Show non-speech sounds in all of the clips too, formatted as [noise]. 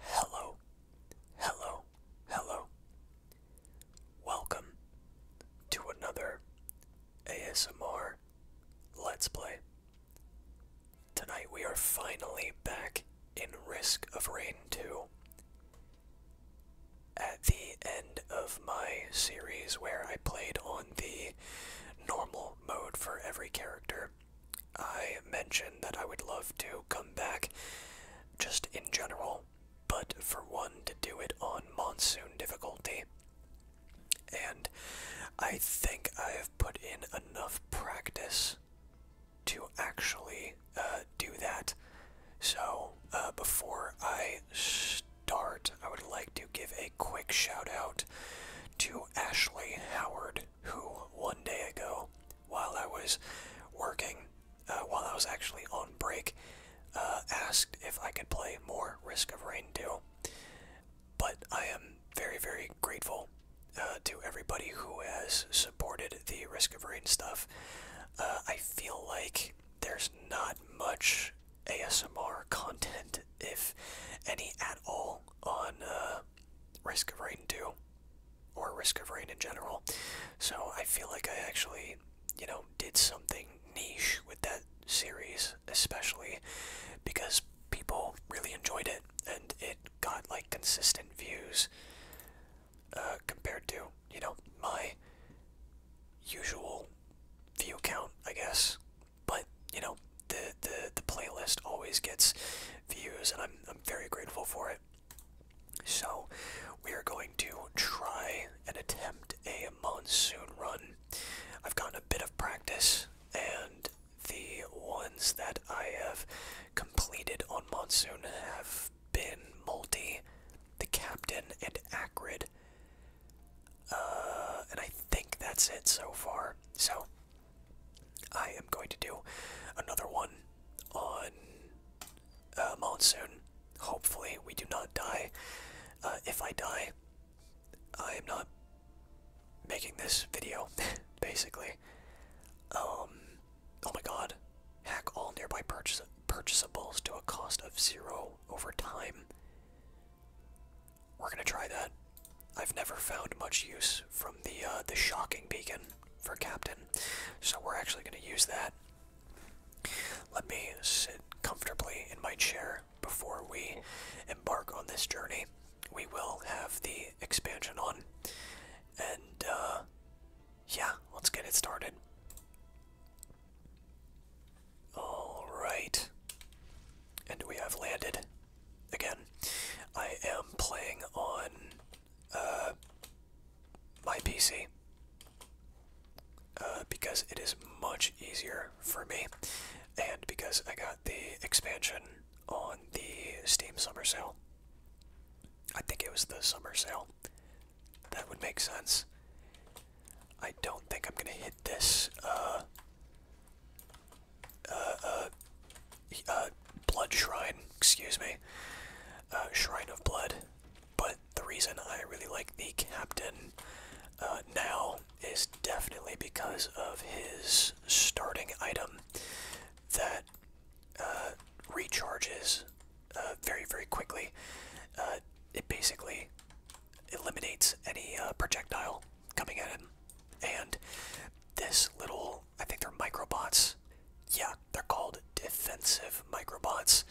Hello, hello, hello. Welcome to another ASMR Let's Play. Tonight we are finally back in Risk of Rain 2. At the end of my series where I played on the normal mode for every character. I mentioned that I would love to come back just in general, but for one, to do it on monsoon difficulty. And I think I have put in enough practice to actually uh, do that. So, uh, before I start, I would like to give a quick shout out to Ashley Howard, who one day ago, while I was working, uh, while I was actually on break, uh, asked if I could play more Risk of Rain 2. But I am very, very grateful uh, to everybody who has supported the Risk of Rain stuff. I feel like there's not much ASMR content, if any at all, on uh, Risk of Rain 2 or Risk of Rain in general. So I feel like I actually, you know, did something niche with that series, especially because people really enjoyed it and it got like consistent views uh, compared to, you know, my usual view count, I guess but you know the the the playlist always gets views, and I'm I'm very grateful for it. So we are going to try and attempt a monsoon run. I've gotten a bit of practice, and the ones that I have completed on monsoon have been multi, the captain, and acrid. Uh, and I think that's it so far. So I am going to do another one on uh, monsoon. Hopefully, we do not die. Uh, if I die, I am not making this video, [laughs] basically. Um, oh my god. Hack all nearby purchase purchasables to a cost of zero over time. We're gonna try that. I've never found much use from the uh, the shocking beacon for captain, so we're actually gonna use that. Let me sit comfortably in my chair before we embark on this journey. We will have the expansion on, and uh, yeah, let's get it started. All right, and we have landed again, I am playing on uh, my PC uh, because it is much easier for me, and because I got the expansion on the Steam Summer Sale. I think it was the Summer Sale. That would make sense. I don't think I'm gonna hit this uh, uh, uh, blood shrine, excuse me, uh, shrine of blood. But the reason I really like the captain uh, now is definitely because of his starting item that uh, recharges uh, very, very quickly. Uh, it basically eliminates any uh, projectile coming at him. And this little, I think they're microbots. Yeah, they're called defensive microbots.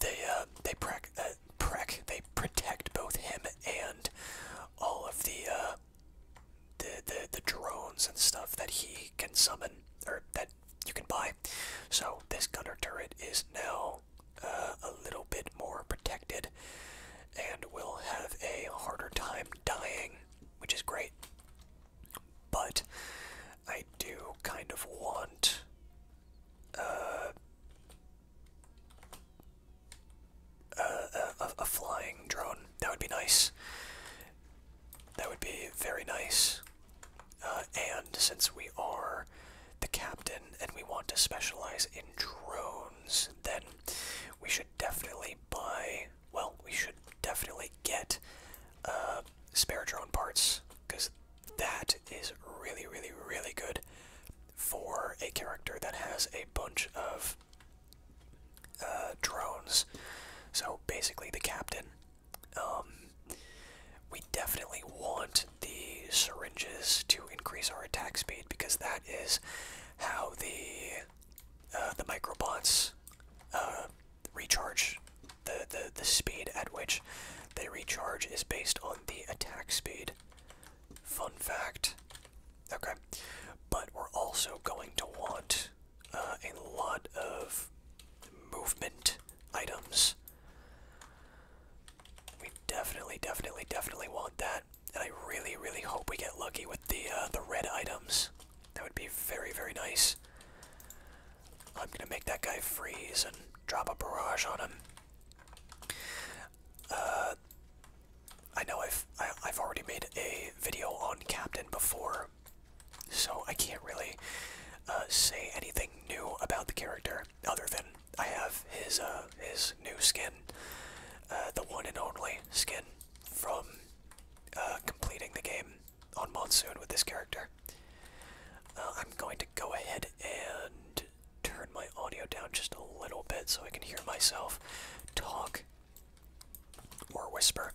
They uh, they prec, uh, they protect both him and all of the, the the drones and stuff that he can summon or that you can buy. So this gunner turret is now a little bit more protected and will have a harder time dying, which is great. But I do kind of want. Uh, a, a flying drone. That would be nice. That would be very nice. Uh, and since we are the captain and we want to specialize in drone then we should definitely buy. Well, we should definitely get uh, spare drone parts because that is really, really, really good for a character that has a bunch of uh, drones. So basically, the captain. Um, we definitely want the syringes to increase our attack speed because that is how the uh, the microbots uh, recharge. The, the the speed at which they recharge is based on the attack speed. Fun fact. Okay, but we're also going to want uh, a lot of movement items. We definitely, definitely, definitely want that and I really, really hope we get lucky with the uh, the red items. That would be very, very nice. I'm gonna make that guy freeze and drop a barrage on him. Uh, I know I've I, have already made a video on Captain before, so I can't really uh, say anything new about the character other than I have his uh his new skin, uh, the one and only skin from uh, completing the game on Monsoon with this character. Uh, I'm going to go ahead and turn my audio down just a little bit so I can hear myself talk or whisper.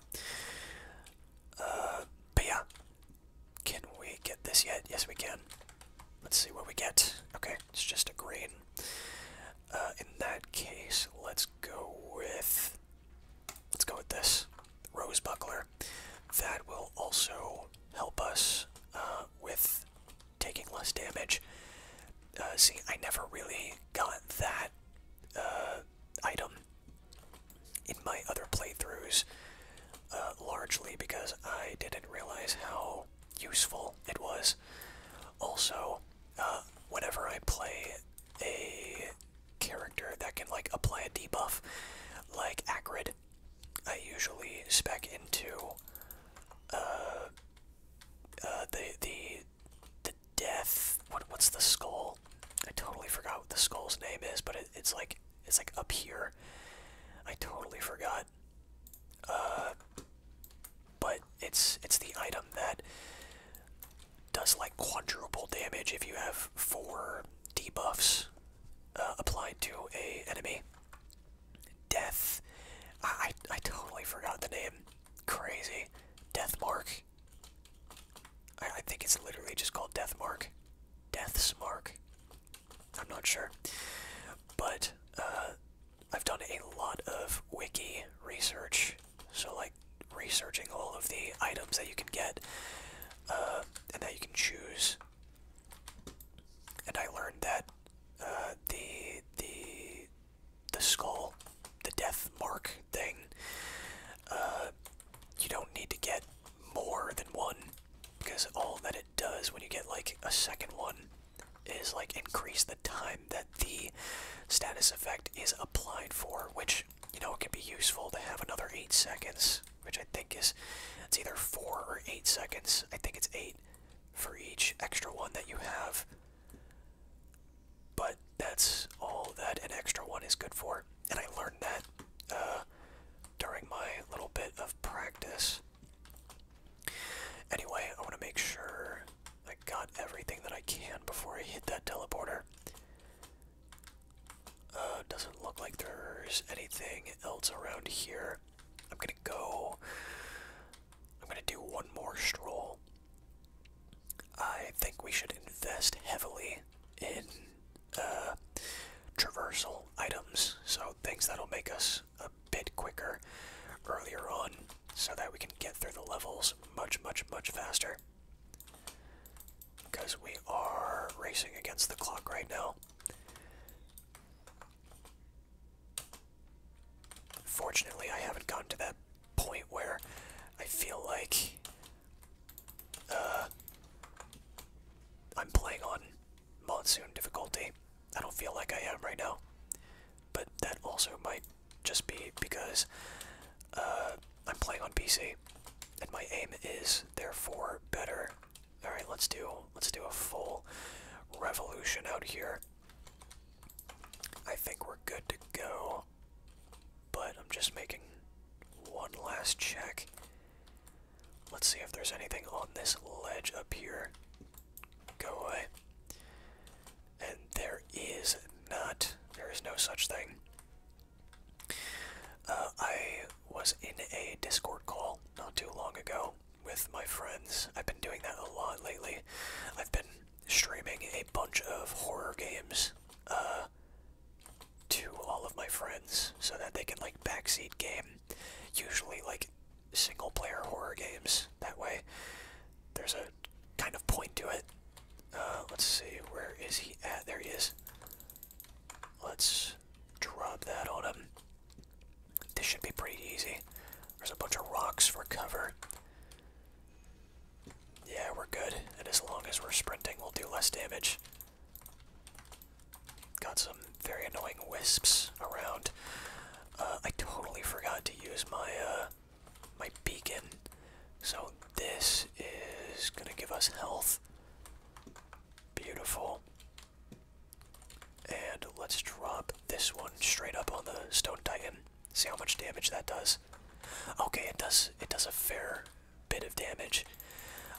Uh, but yeah, can we get this yet? Yes, we can. Let's see what we get. Okay. It's just a green. Uh, in that case, let's go with let's go with this rose buckler. That will also help us uh, with taking less damage. Uh, see, I never really got that item in my other playthroughs, largely because I didn't realize how useful it was. Also, uh, whenever I play a character that can like apply a debuff, like Acrid, I usually spec into uh, uh, the the the death. What what's the skull? I totally forgot what the skull's name is, but it, it's like it's like up here. I totally forgot. Uh, but it's it's the item that does like quadruple damage if you have four debuffs uh, applied to a enemy. Death. I, I totally forgot the name. Crazy. Death mark. I, think it's literally just called death mark. Death's mark. I'm not sure. But uh, I've done a lot of wiki research, so like researching all of the items that you can get uh, and that you can choose. And I learned that uh, the the the skull, the death mark thing, uh, you don't need to get more than one because all that it does when you get like a second one is like increase the time that the status effect is applied for, which you know it can be useful to have another eight seconds, which I think is it's either four or eight seconds. I think it's eight for each extra one that you have. But that's all that an extra one is good for, and I learned that uh, during my little bit of practice. Anyway, I want to make sure I got everything that I can before I hit that teleporter. Uh, doesn't look like there's anything else around here. I'm gonna go. I'm gonna do one more stroll. I think we should invest heavily in uh, traversal items, so things that'll make us a bit quicker earlier on so that we can get through the levels much, much, much faster. Because we are racing against the clock right now. Fortunately, I haven't gotten to that point where I feel like uh, I'm playing on monsoon difficulty. I don't feel like I am right now. But that also might just be because uh, I'm playing on PC, and my aim is therefore better. All right, let's do let's do a full revolution out here. I think we're good to go, but I'm just making one last check. Let's see if there's anything on this ledge up here. Go away. And there is not, there is no such thing. Uh, I was in a Discord call not too long ago with my friends. I've been doing that a lot lately. I've been streaming a bunch of horror games uh, to all of my friends so that they can like backseat game. Usually like single player horror games that way. There's a kind of point to it. Uh, let's see, where is he at? There he is. Let's drop that on him. This should be pretty easy. There's a bunch of rocks for cover. Yeah, we're good. And as long as we're sprinting, we'll do less damage. Got some very annoying wisps around. Uh, I totally forgot to use my uh, my beacon. So this is gonna give us health. Beautiful. And let's drop this one straight up on the stone titan. See how much damage that does. Okay, it does it does a fair bit of damage.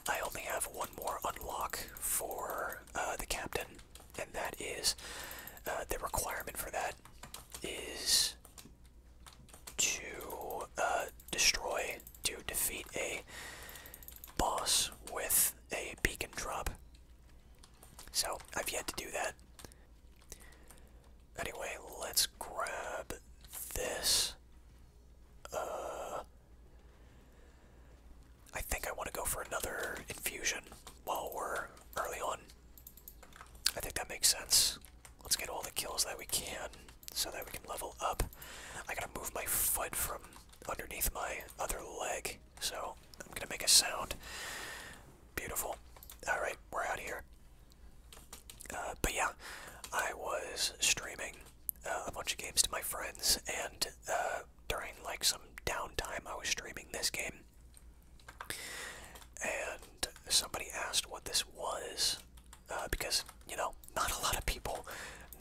I only have one more unlock for uh, the captain and that is uh, the requirement for that is to uh, destroy to defeat a boss with a beacon drop. So I've yet to do that. Anyway, let's grab this. Uh, I think I want to go for another infusion while we're early on. I think that makes sense. Let's get all the kills that we can so that we can level up. I gotta move my foot from underneath my other leg, so I'm gonna make a sound. Beautiful. Alright, we're out of here. Uh, but yeah, I was streaming uh, a bunch of games to my friends, and uh, during like some downtime, I was streaming this game. And somebody asked what this was uh, because, you know, not a lot of people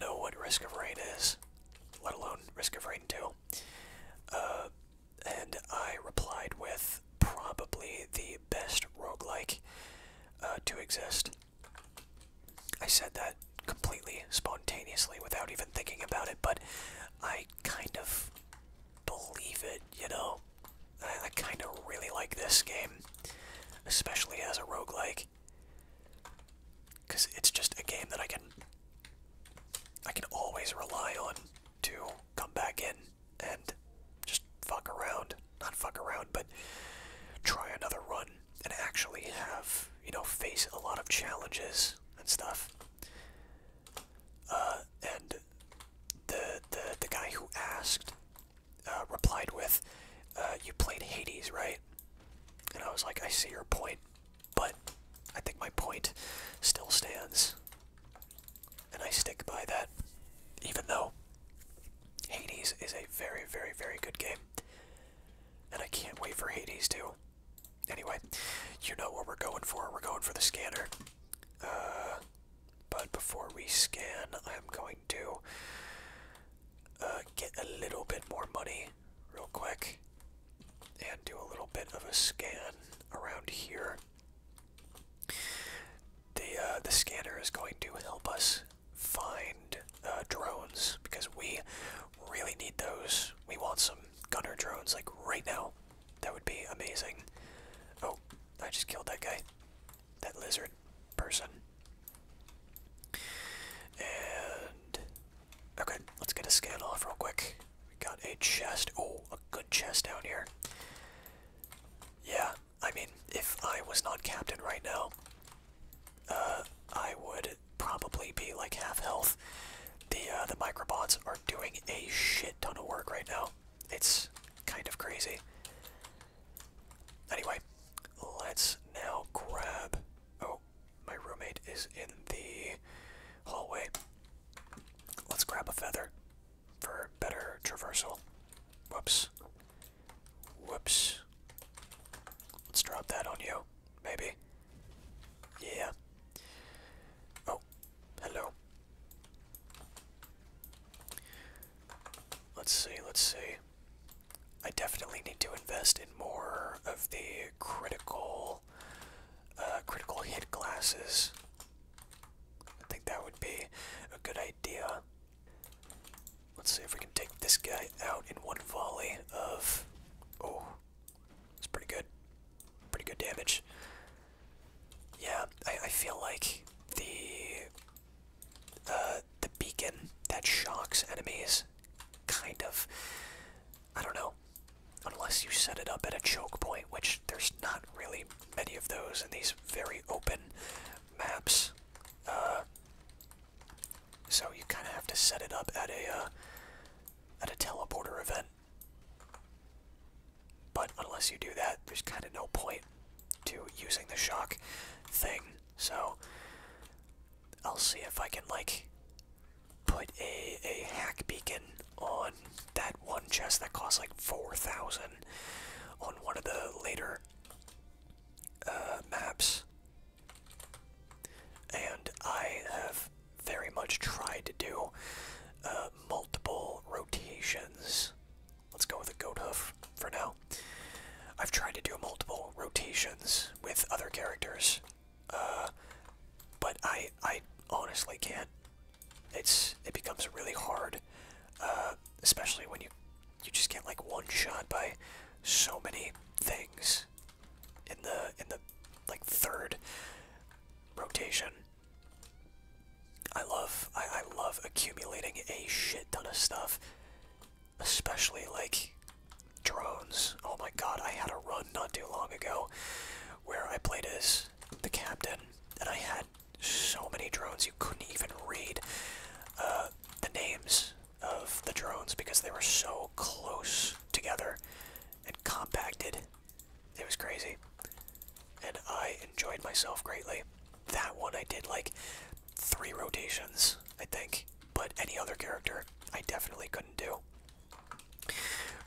know what Risk of Rain is, let alone Risk of Rain 2. Uh, and I replied with probably the best roguelike uh, to exist. I said that completely spontaneously without even thinking about it, but I kind of believe it, you know? I, kind of really like this game, especially as a roguelike. Because it's just a game that I can, I can always rely on to come back in and just fuck around. Not fuck around, but try another run and actually have, you know, face a lot of challenges and stuff. Uh, and the the the guy who asked uh, replied with, uh, "You played Hades, right?" And I was like, "I see your point, but I think my point still stands, and I stick by that, even though Hades is a very, very, very good game, and I can't wait for Hades too." Anyway, you know what we're going for. We're going for the scanner. Uh, but before we scan, I'm going to uh, get a little bit more money real quick and do a little bit of a scan around here. The, uh, the scanner is going to help us find drones because we really need those. We want some gunner drones like right now. That would be amazing. Oh, I just killed that guy. That lizard person. And. Okay, let's get a scan off real quick. We got a chest. Oh, a good chest down here. Yeah, I mean, if I was not captain right now, uh, I would probably be like half health the uh, the microbots are doing a shit ton of work right now. It's kind of crazy. Anyway, let's now grab. Oh, my roommate is in the hallway. Let's grab a feather for better traversal. Whoops. Whoops. Let's drop that on you, maybe. Yeah. Oh, Hello. Let's see, let's see. I definitely need to invest in more of the critical uh, critical hit glasses. I think that would be a good idea. Let's see if we can take this guy out in one volley of. Oh, it's pretty good. Pretty good damage. Yeah, I, I feel like the the beacon that shocks enemies kind of I don't know. Unless you set it up at a choke point, which there's not really many of those in these very open maps. Uh, so you kind of have to set it up at a uh, at a teleporter event but unless you do that, there's kind of no point to using the shock thing. So I'll see if I can like put a a hack beacon on that one chest that costs like four thousand on one of the later uh, maps. And I have very much tried to do uh, multiple rotations. Let's go with a goat hoof for now. I've tried to do multiple rotations with other characters, uh, but I I honestly can't. It's it becomes really hard, uh, especially when you you just get like one shot by so many things in the in the like third rotation. I love I, I love accumulating a shit ton of stuff. Especially like drones. Oh my god, I had a run not too long ago where I played as the captain and I had so many drones you couldn't even read uh, the names of the drones because they were so close together and compacted it was crazy. And I enjoyed myself greatly. That one I did like three rotations, I think. But any other character, I definitely couldn't do.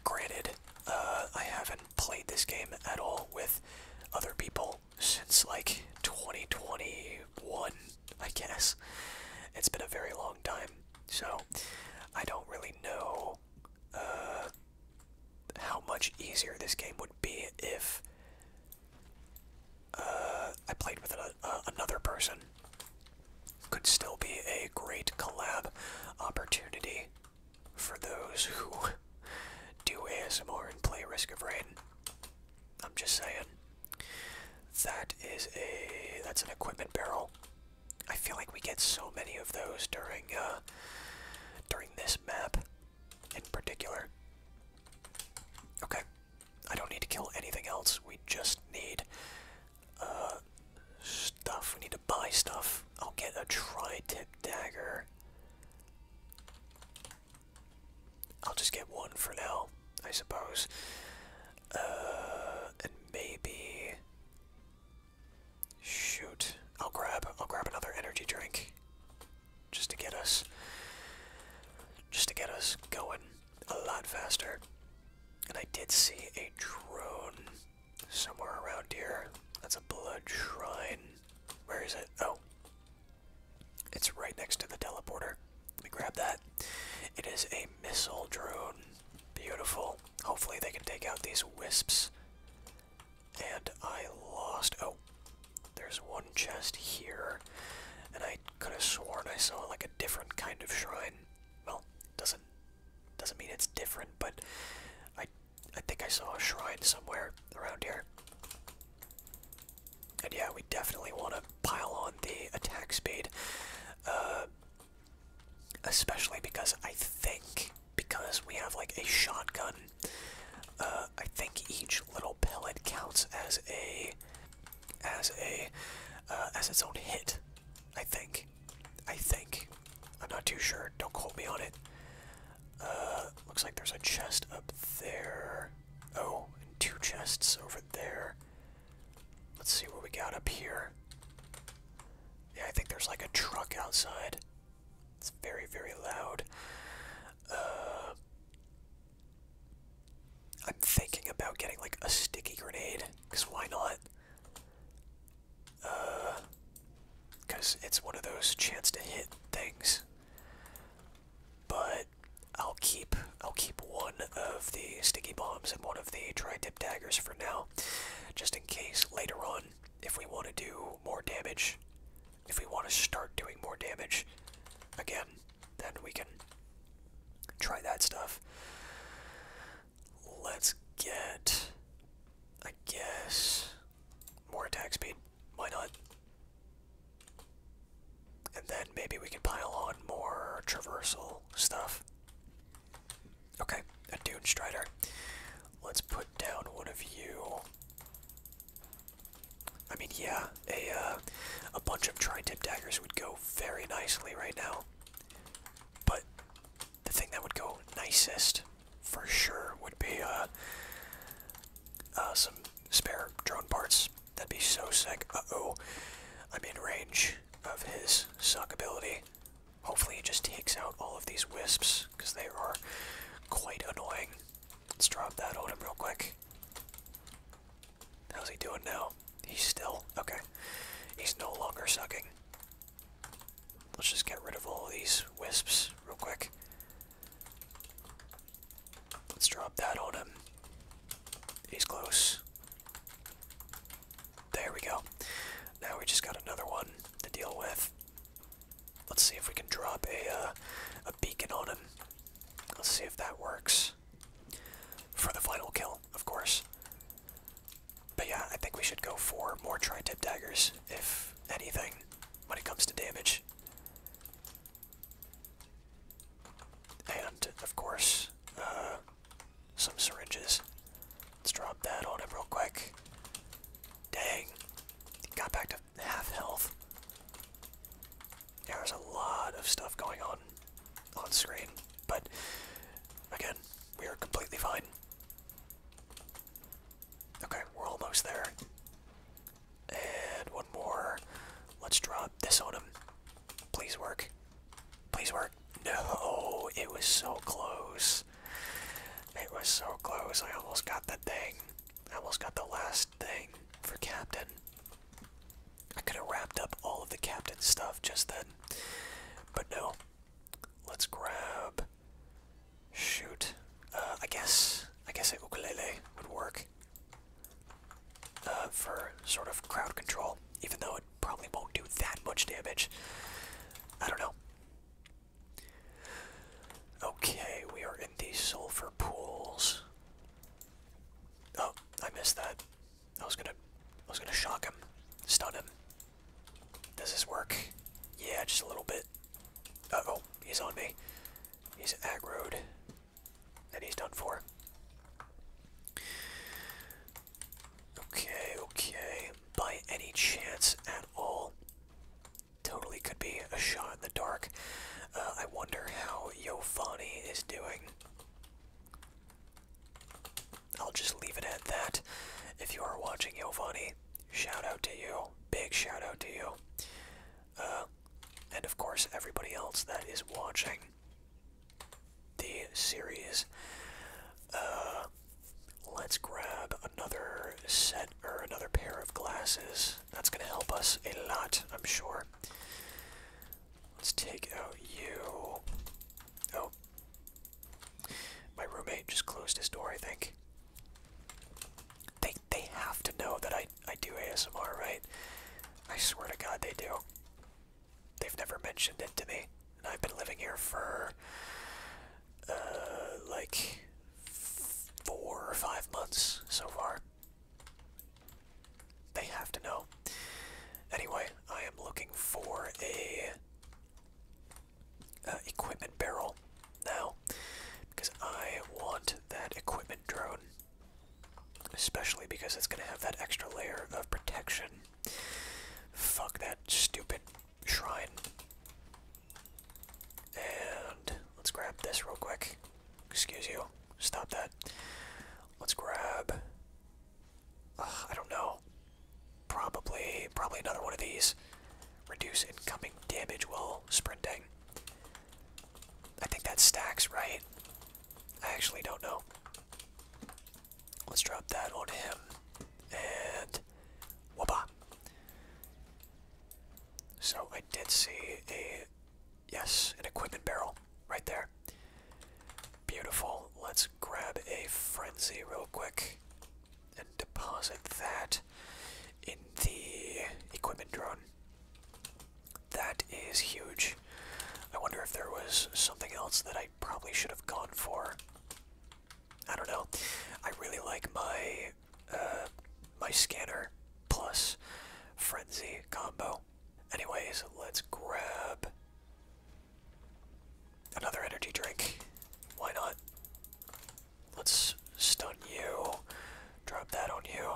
Granted, uh, I haven't played this game at all with other people since like 2021, I guess. It's been a very long time, so I don't really know uh, how much easier this game would be if uh, I played with another person. Could still be a great collab opportunity for those who do ASMR and play Risk of Rain. I'm just saying. That is a that's an equipment barrel. I feel like we get so many of those during uh, during this map in particular. Okay, I don't need to kill anything else. We just need uh, stuff. We need to buy stuff. I'll get a tri-tip dagger. I'll just get one for now, I suppose. Uh, and maybe Shoot. I'll grab I'll grab another energy drink. Just to get us just to get us going a lot faster. And I did see a drone somewhere around here. That's a blood shrine. Where is it? Oh. It's right next to the teleporter. Let me grab that. It is a missile drone. Beautiful hopefully they can take out these wisps. And I lost. Oh, there's one chest here, and I could have sworn I saw like a different kind of shrine. Well, doesn't doesn't mean it's different, but I I think I saw a shrine somewhere around here. And yeah, we definitely want to pile on the attack speed. Uh, Especially because I think, because we have like a shotgun, uh, I think each little pellet counts as a, as a, uh, as its own hit. I think. I think. I'm not too sure. Don't quote me on it. Uh, looks like there's a chest up there. Oh, two chests over there. Let's see what we got up here. Yeah, I think there's like a truck outside. It's very, very loud. Uh, I'm thinking about getting like a sticky grenade, because why not? Because uh, it's one of those chance to hit things. But I'll keep I'll keep one of the sticky bombs and one of the dry tip daggers for now just in case later on, if we want to do more damage, if we want to start doing more damage again, then we can try that stuff. Let's get, I guess, more attack speed. Why not? And then maybe we can pile on more traversal stuff. Okay, a Dune Strider. Let's put down one of you. I mean, yeah, a uh, a bunch of tri-tip daggers would go very nicely right now. But the thing that would go nicest, for sure, would be uh, uh, some spare drone parts. That'd be so sick. Uh oh, I'm in range of his suck ability. Hopefully it just takes out all of these wisps, because they are quite annoying. Let's drop that on him real quick. How's he doing now? He's still... okay. He's no longer sucking. Let's just get rid of all these wisps real quick. Let's drop that on him. He's close. There we go. Now we just got another one to deal with. Let's see if we can drop a uh, a beacon on him. Let's see if that works for the final kill, of course. But yeah, I think we should go for more tri-tip daggers, if anything, when it comes to damage. And of course, uh, some syringes. Let's drop that on him real quick. Dang. got back to half health. There's a lot of stuff going on on screen, but again, we are completely fine. Okay, we're almost there. And one more. Let's drop this on him. Please work. Please work. No, it was so close. It was so close. I almost got the thing. almost got the last thing for Captain. I could have wrapped up all of the Captain stuff just then. But no. Let's grab. Shoot. Uh, I guess. I guess a ukulele would work. Uh, for sort of crowd control, even though probably won't do that much damage. I don't know. Okay, we are in the sulfur pools. Oh, I missed that. I was gonna, I was gonna shock him, stun him. Does this work? Yeah, just a little bit. oh, he's on me. He's aggroed, and he's done for. Okay, okay. By any chance at all, totally could be a shot in the dark. Uh, I wonder how Yovani is doing. I'll just leave it at that. If you are watching Yovani, shout out to you. Big shout out to you. Uh, and of course, everybody else that is watching the series. Uh, let's grab another set or another pair of glasses. That's going to help us a lot, I'm sure. Let's take out you. Oh. My roommate just closed his door, I think. They, they have to know that I, I do ASMR, right? I swear to God they do they've never mentioned it to me. And I've been living here for uh, like four or five months so far. They have to know. Anyway, I am looking for a uh, equipment barrel now because I want that equipment drone, especially because it's going to have that extra layer of protection. Fuck that stupid shrine. And let's grab this real quick. Excuse you. Stop that. Let's grab. Uh, I don't know. Probably, probably another one of these. Reduce incoming damage while sprinting. I think that stacks, right? I actually don't know. Let's drop that on him. And whoopah. So I did see a yes, an equipment barrel right there. Beautiful. Let's grab a frenzy real quick and deposit that in the equipment drone. That is huge. I wonder if there was something else that I probably should have gone for. I don't know. I really like my uh, my scanner plus frenzy combo. Anyways, let's grab another energy drink. Why not? Let's stun you. Drop that on you.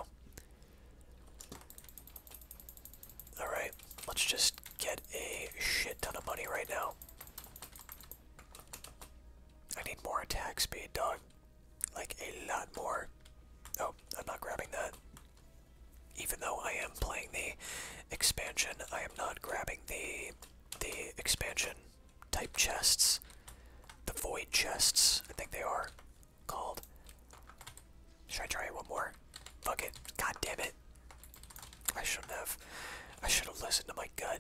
Alright, let's just get a shit ton of money right now. I need more attack speed, dog. Like a lot more. Oh, I'm not grabbing that. Even though I am playing the expansion, I am not grabbing the the expansion type chests. The void chests, I think they are called. Should I try it one more? Fuck it. God damn it. I shouldn't have. I should have listened to my gut.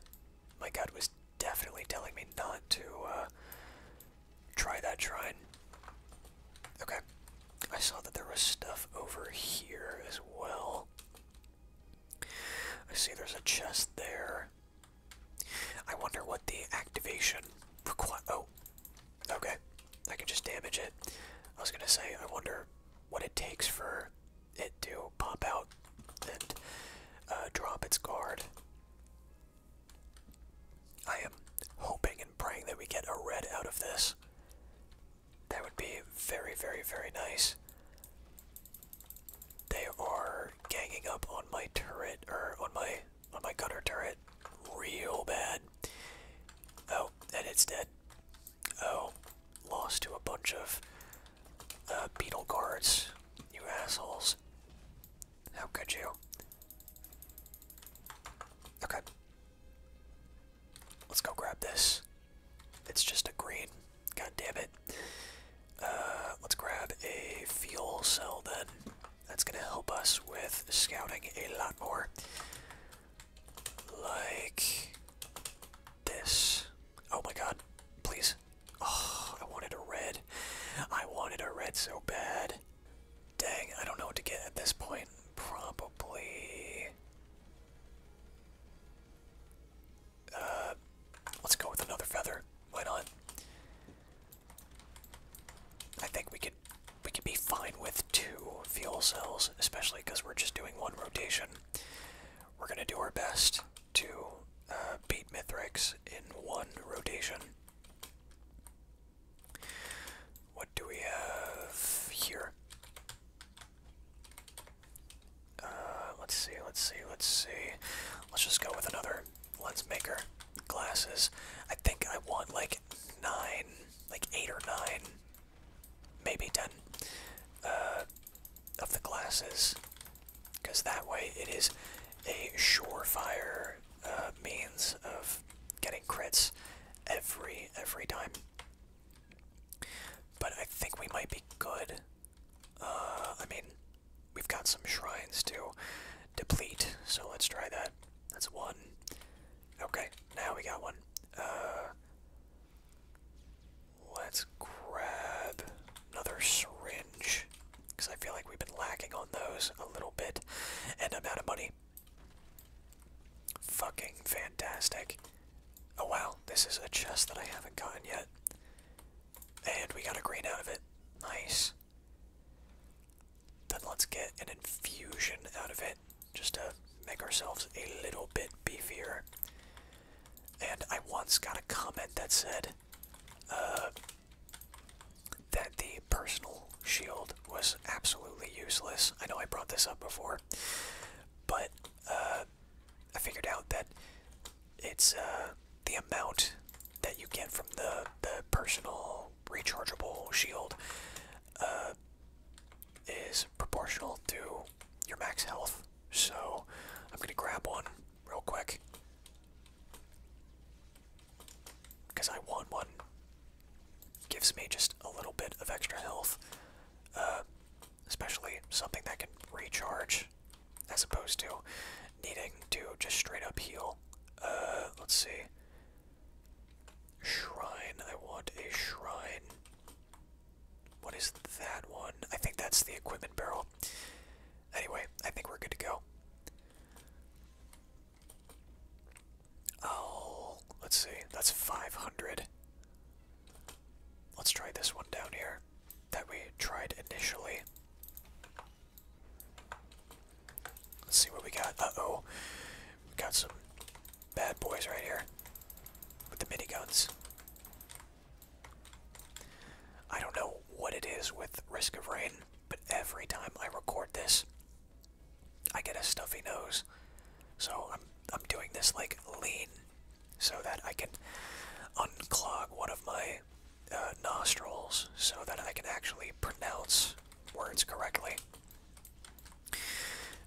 My gut was definitely telling me not to uh, try that shrine. Okay. I saw that there was stuff over here as well. I see there's a chest there. I wonder what the activation require. Oh, okay. I can just damage it. I was gonna say, I wonder what it takes for it to pop out and uh, drop its guard. I am hoping and praying that we get a red out of this. That would be very, very, very nice. They are ganging up on my turret or er, on my on my gunner turret real bad. Oh, and it's dead. Oh, lost to a bunch of beetle uh, guards. You assholes. How could you? Okay. Let's go grab this. It's just a green. God damn it. Uh, let's grab a fuel cell then. That's gonna help us with scouting a lot more like this. Oh my god, please. Oh, I wanted a red. I wanted a red so bad. Dang, I don't know what to get at this point. Probably. Uh, let's go with another feather. Why not? I think we could we could be fine with two fuel cells, especially because we're just doing one rotation. We're going to do our best to uh, beat Mithrax in one rotation. What do we have here? Uh, let's see, let's see, let's see. Let's just go with another lens maker glasses. I think I want like nine, like eight or nine maybe 10 uh, of the glasses because that way it is a surefire uh, means of getting crits every every time but i think we might be good uh, i mean we've got some shrines to deplete so let's try that that's one okay now we got one Let's grab another syringe because I feel like we've been lacking on those a little bit, and I'm out of money. Fucking fantastic. Oh wow, this is a chest that I haven't gotten yet. And we got a green out of it. Nice. Then let's get an infusion out of it, just to make ourselves a little bit beefier. And I once got a comment that said uh, that the personal shield was absolutely useless. I know I brought this up before, but uh, I figured out that it's uh, the amount that you get from the, the personal rechargeable shield is proportional to your max health. So I'm going to grab one real quick because I want one. Gives me just a little bit of extra health, uh, especially something that can recharge as opposed to needing to just straight up heal. Uh, let's see. Shrine. I want a shrine. What is that one? I think that's the equipment barrel. Anyway, I think we're good to go. Oh, let's see. That's 500. Let's try this one down here that we tried initially. Let's see what we got. Uh-oh. We got some bad boys right here with the miniguns. I don't know what it is with Risk of Rain, but every time I record this, I get a stuffy nose. So I'm I'm doing this like lean, so that I can unclog one of my uh, nostrils, so that I can actually pronounce words correctly.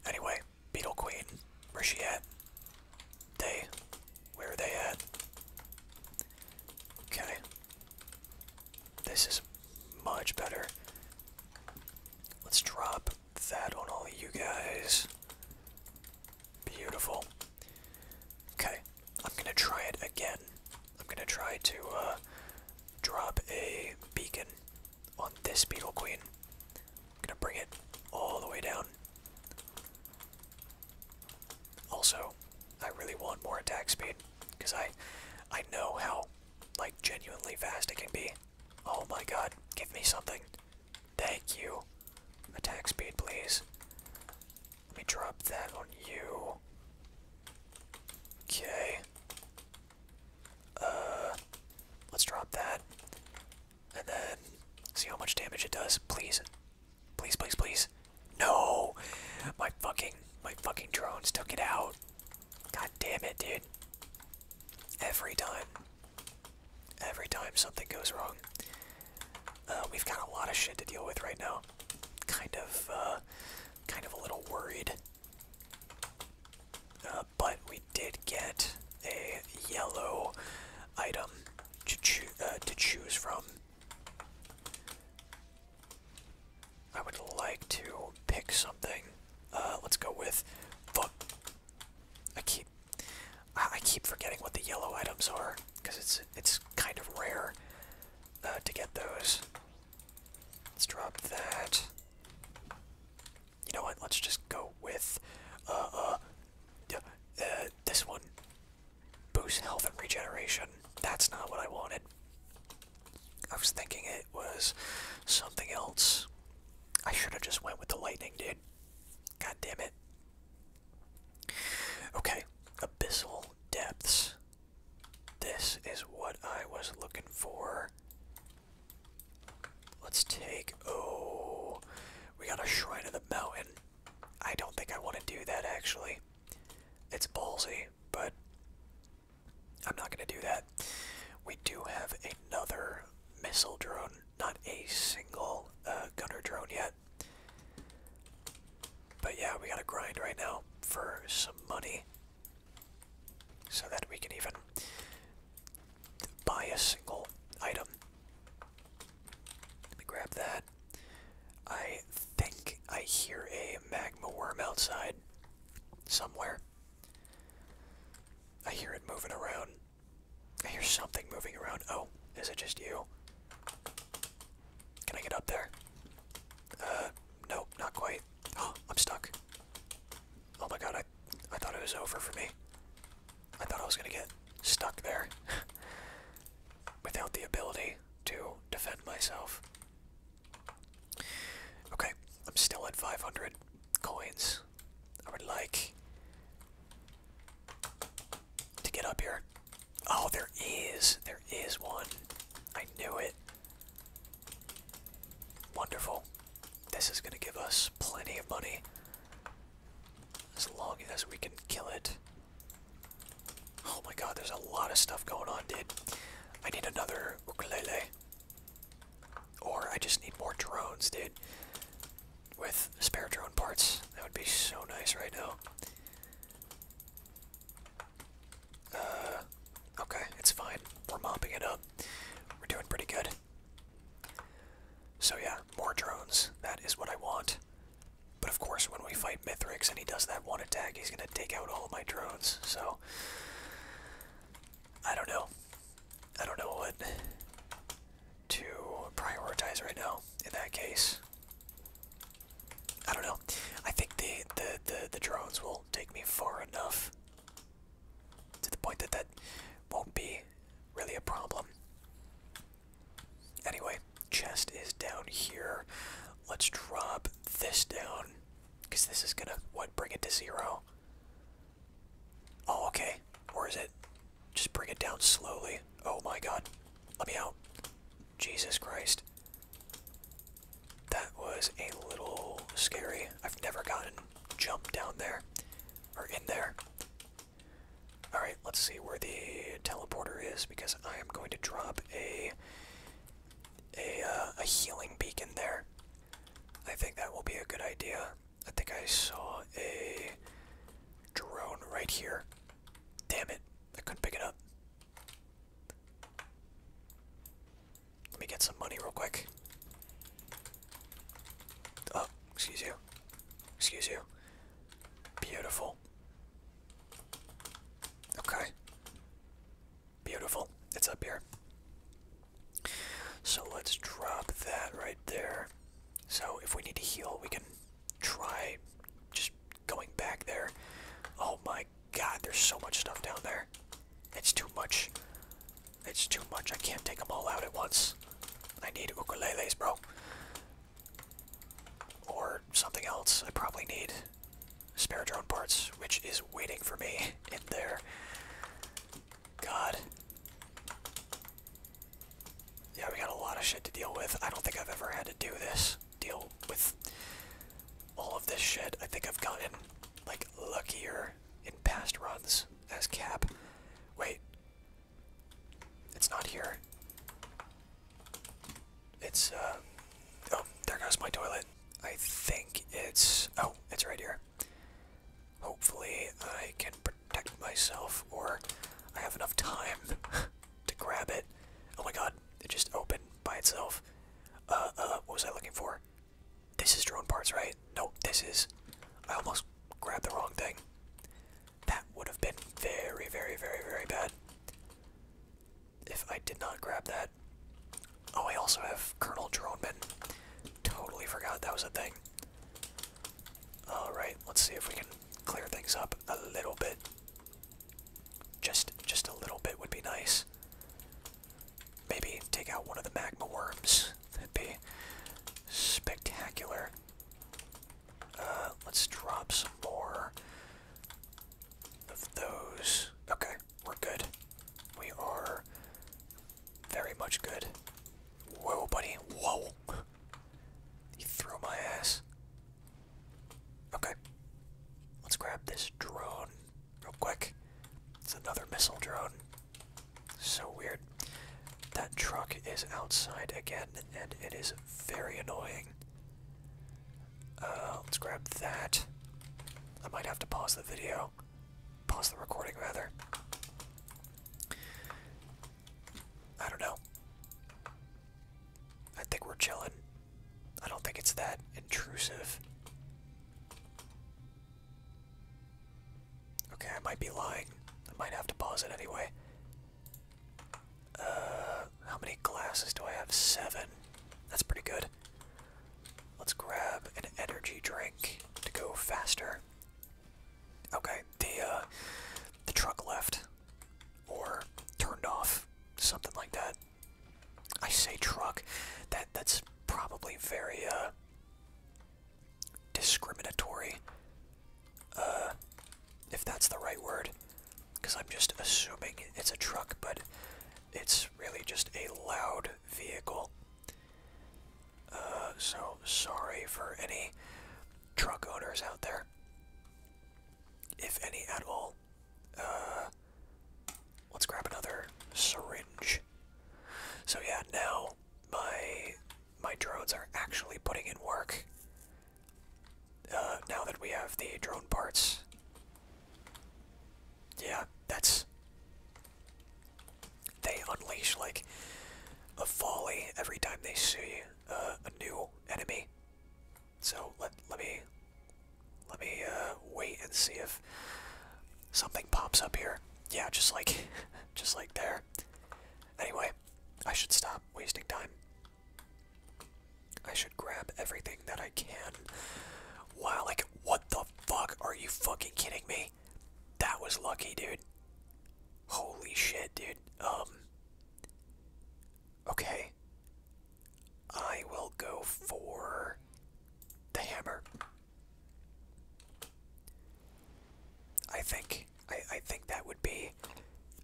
Anyway, Beetle Queen. Where's she at? They. Where are they at? Okay. This is much better. Let's drop that on all of you guys. Beautiful. Okay. I'm gonna try it again. I'm gonna try to uh, drop a beacon on this Beetle Queen. Gonna bring it all the way down. Also, I really want more attack speed because I, I know how, like, genuinely fast it can be. Oh my god, give me something. Thank you. Attack speed, please. Let me drop that on you. Okay. Uh, let's drop that and then see how much damage it does. Please, please, please, please. No, my fucking my fucking drones took it out. God damn it, dude. Every time, every time something goes wrong. Uh, we've got a lot of shit to deal with right now. Kind of, uh, kind of a little worried. Uh, but we did get a yellow item uh, to, choose from. I would like to pick something. Uh, let's go with book. I keep, I keep forgetting what the yellow items are because it's it's kind of rare uh, to get those. Let's drop that you know what? Let's just go with uh, uh, uh, this one. Boost health and regeneration. That's not what I wanted. I was thinking it was something else. I should have just went with the lightning, dude. God damn it. Okay, abyssal depths. This is what I was looking for. Let's take. Oh, we got a shrine of the mountain. I don't think I want to do that actually. It's ballsy, but I'm not going to do that. We do have another missile drone, not a single uh, gunner drone yet. But yeah, we got a grind right now for some money so that we can even buy a single item. Let me grab that. I think I hear a magma worm outside somewhere. I hear it moving around. I hear something moving around. Oh, is it just you? Can I get up there? Uh, no, not quite. Oh, [gasps] I'm stuck. Oh my god, I thought it was over for me. I thought I was gonna get stuck there [laughs] without the ability to defend myself. Okay, I'm still at 500 coins. I would like to get up here. Oh, there is. There is one. I knew it. Wonderful. This is going to give us plenty of money. As long as we can kill it. Oh my god, there's a lot of stuff going on, dude. I need another ukulele. Or I just need more drones, dude. With spare drone parts. That would be so nice right now. Uh, okay, it's fine. We're mopping it up. We're doing pretty good. So yeah, more drones. That is what I want. But of course, when we fight Mithrix and he does that one attack, he's going to take out all my drones. So, I don't know. I don't know what to prioritize right now in that case. I don't know. I think the, the, the, the drones will take me far enough to the point that that won't be really a problem. Anyway, chest is down here. Let's drop this down because this is gonna what bring it to zero. Oh, okay. Or is it? Just bring it down slowly. Oh my god. Let me out. Jesus Christ. That was a little scary. I've never gotten jumped down there. Or in there. Alright, let's see where the teleporter is because I am going to drop a a, uh, a healing beacon there. I think that will be a good idea. I think I saw a drone right here. Damn it, I couldn't pick it up. Let me get some money real quick. Oh, excuse you. Excuse you. Beautiful. Okay. Beautiful. It's up here. So let's drop that right there. So if we need to heal, we can try just going back there. Oh my god, there's so much stuff down there. It's too much. It's too much. I can't take them all out at once. I need ukuleles, bro. Or something else. I probably need spare drone parts, which is waiting for me [laughs] in there. God. Yeah, we got a lot of shit to deal with. I don't think I've ever had to do this. Deal with all of this shit. I think I've gotten, like, luckier in past runs as Cap. Wait, it's not here. It's, uh. Oh, there goes my toilet. I think it's. Oh, it's right here. Hopefully, I can protect myself or I have enough time [laughs] to grab it. Oh my god, it just opened by itself. Uh, uh, what was I looking for? This is drone parts, right? Nope, this is. I almost grabbed the wrong thing. That would have been very, very, very, very bad if I did not grab that. Oh, I also have Colonel Droneman. Totally forgot that was a thing. Alright, let's see if we can clear things up a little bit. Just just a little bit would be nice. Maybe take out one of the magma worms. That'd be Spectacular. Uh, let's drop some more of those. Okay, we're good. We are very much good. Whoa, buddy. Whoa. He threw my ass. Okay. Let's grab this drone real quick. It's another missile drone. So weird. That truck is outside again, and it is very annoying. Uh, let's grab that. I might have to pause the video. Pause the recording, rather. I don't know. I think we're chilling. I don't think it's that intrusive. Okay, I might be lying. I might have to pause it anyway. Uh, how many glasses do I have? Seven. That's pretty good. Let's grab an energy drink to go faster. Okay, the uh, the truck left, or turned off, something like that. I say truck. That that's probably very uh, discriminatory, uh, if that's the right word, because I'm just assuming it's a truck, but it's really just a loud vehicle. Uh, so sorry for any truck owners out there, if any at all. Uh, let's grab another syringe. So yeah, now my my drones are actually putting in work. Uh, now that we have the drone parts. Yeah, that's. They unleash like a volley every time they see uh, a new enemy. So let let me let me uh, wait and see if something pops up here. Yeah, just like [laughs] just like there. Anyway, I should stop wasting time. I should grab everything that I can. Wow, like, what the fuck? Are you fucking kidding me? That was lucky, dude. Holy shit, dude. Um. Okay. I will go for the hammer. I think I, I think that would be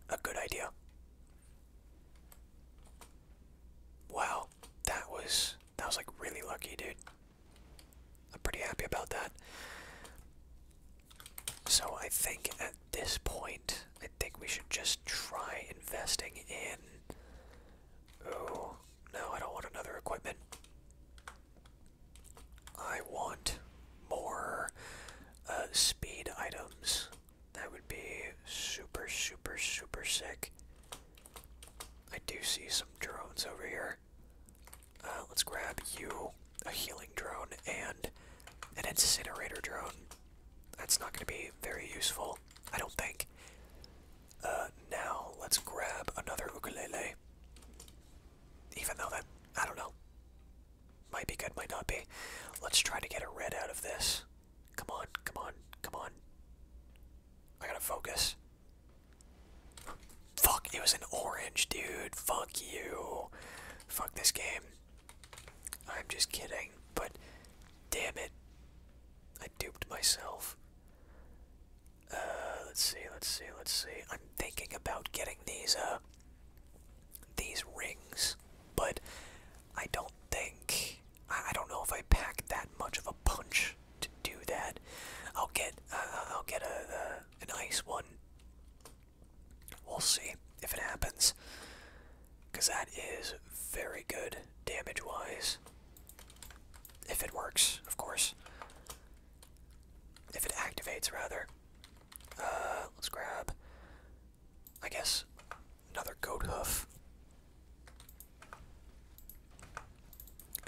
a good idea. Wow, that was that was like really lucky, dude. I'm pretty happy about that. So I think at this point, I think we should just try investing in. Oh no, I don't want another equipment. I want more uh, speed items. That would be super, super, super sick. I do see some drones over here. Uh, let's grab you, a healing drone, and an incinerator drone. That's not going to be very useful, I don't think. Uh, now, let's grab another ukulele. Even though that, I don't know. Might be good, might not be. Let's try to get a red out of this. Come on, come on, come on. I gotta focus. Fuck, it was an orange, dude. Fuck you. Fuck this game. I'm just kidding, but damn it. I duped myself. Uh, let's see, let's see, let's see. I'm thinking about getting these, uh, these rings, but I don't think, I don't know if I pack that much of a punch to do that. I'll get, uh, I'll get a, uh, an ice one. We'll see if it happens, because that is very good damage-wise. If it works, of course. If it activates, rather. Uh, let's grab, I guess, another goat hoof.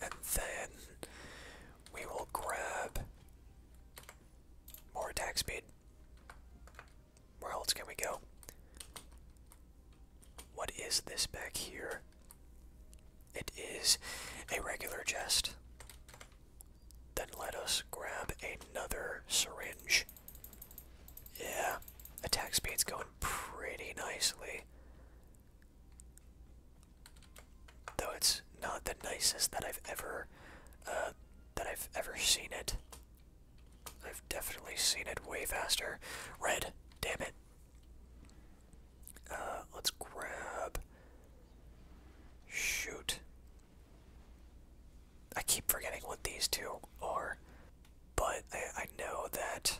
And then we will grab more attack speed. Where else can we go? What is this back here? It is a regular jest. Then let us grab another syringe. Yeah, attack speed's going pretty nicely. Though it's not the nicest that I've ever, uh, that I've ever seen it. I've definitely seen it way faster. Red, damn it. Uh, let's grab. Shoot. I keep forgetting what these two are, but I, know that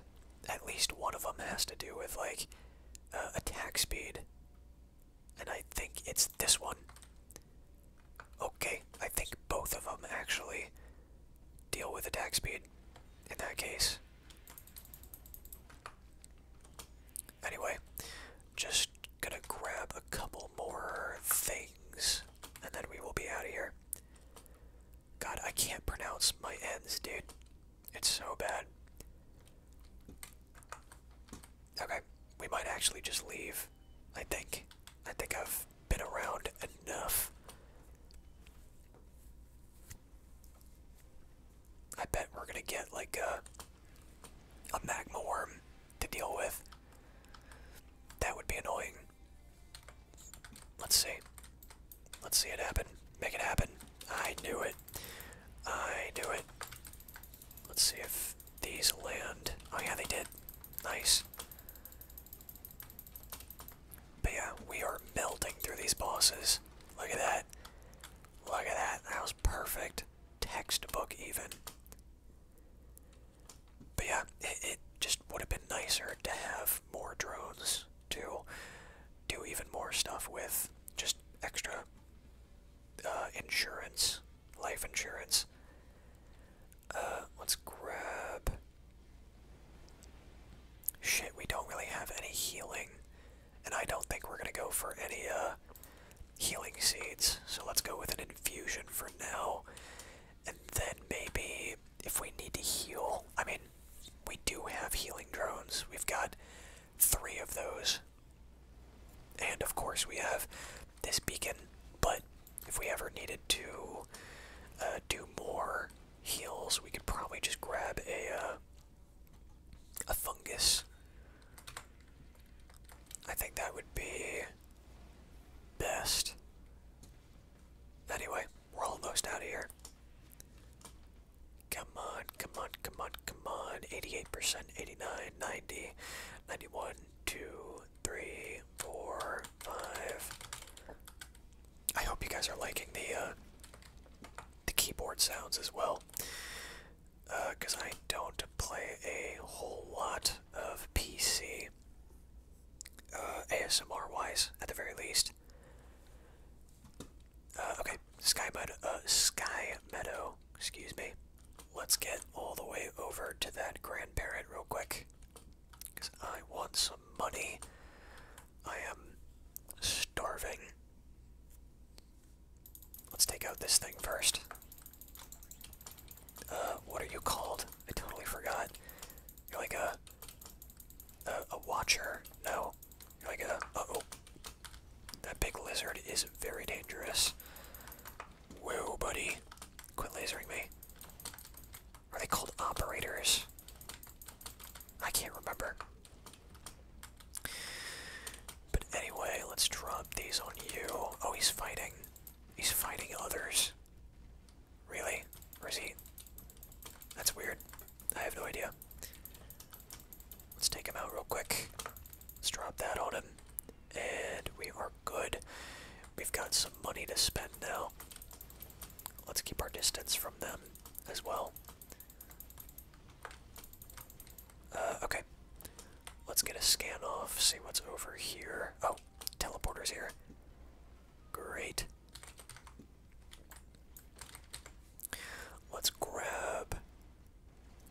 at least one of them has to do with, like, uh, attack speed. And I think it's this one. Okay, I think both of them actually deal with attack speed in that case. Anyway, just gonna grab a couple more things and then we will be out of here. God, I can't pronounce my ends, dude. It's so bad. Okay, we might actually just leave. I think. I think I've been around enough. I bet we're gonna get like a, uh, a magma worm to deal with. That would be annoying. Let's see. Let's see it happen. Make it happen. I knew it. I knew it. Let's see if these land. Oh yeah, they did. Nice. But yeah, we are melting through these bosses. Look at that. Look at that. That was perfect. Textbook, even. But yeah, it, just would have been nicer to have more drones to do even more stuff with. Just extra uh, insurance, life insurance. Uh, let's grab. Shit, we don't really have any healing. And I don't think we're going to go for any uh, healing seeds, so let's go with an infusion for now. And then maybe if we need to heal, I mean, we do have healing drones. We've got three of those. And of course, we have this beacon, but if we ever needed to uh, do more heals, we could probably just grab a. Uh, a fungus. I think that would be best. Anyway, we're almost out of here. Come on, come on, come on, come on. 88%, 89, 90, 91, 2, 3, 4, 5. I hope you guys are liking the uh, the keyboard sounds as well because uh, I don't play a whole lot of PC, uh, ASMR wise, at the very least. Uh, okay, Sky Meadow, uh, Sky Meadow, excuse me. Let's get all the way over to that grandparent real quick, because I want some money. I am starving. Let's take out this thing first. Uh, what are you called? I totally forgot. You're like a... A, watcher? No. You're like a... oh That big lizard is very dangerous. Whoa, buddy. Quit lasering me. Are they called operators? I can't remember. But anyway, let's drop these on you. Oh, he's fighting. He's fighting others. Really? Or he? That's weird. I have no idea. Let's take him out real quick. Let's drop that on him. And we are good. We've got some money to spend now. Let's keep our distance from them as well. Uh, okay. Let's get a scan off, see what's over here. Oh, teleporter's here. Great. Let's grab.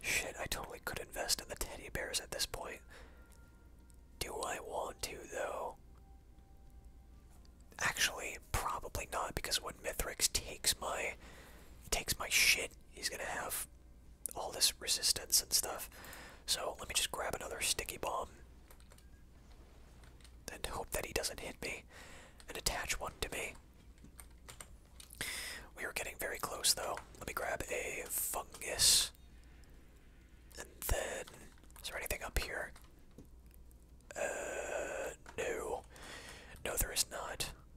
Shit, I totally could invest in the teddy bears at this point. Do I want to, though? Actually, probably not, because when Mithrax takes my takes my shit he's gonna have all this resistance and stuff. So let me just grab another sticky bomb and hope that he doesn't hit me and attach one to me. We are getting very close though. Let me grab a fungus. And then, is there anything up here? Uh, no. No, there is not.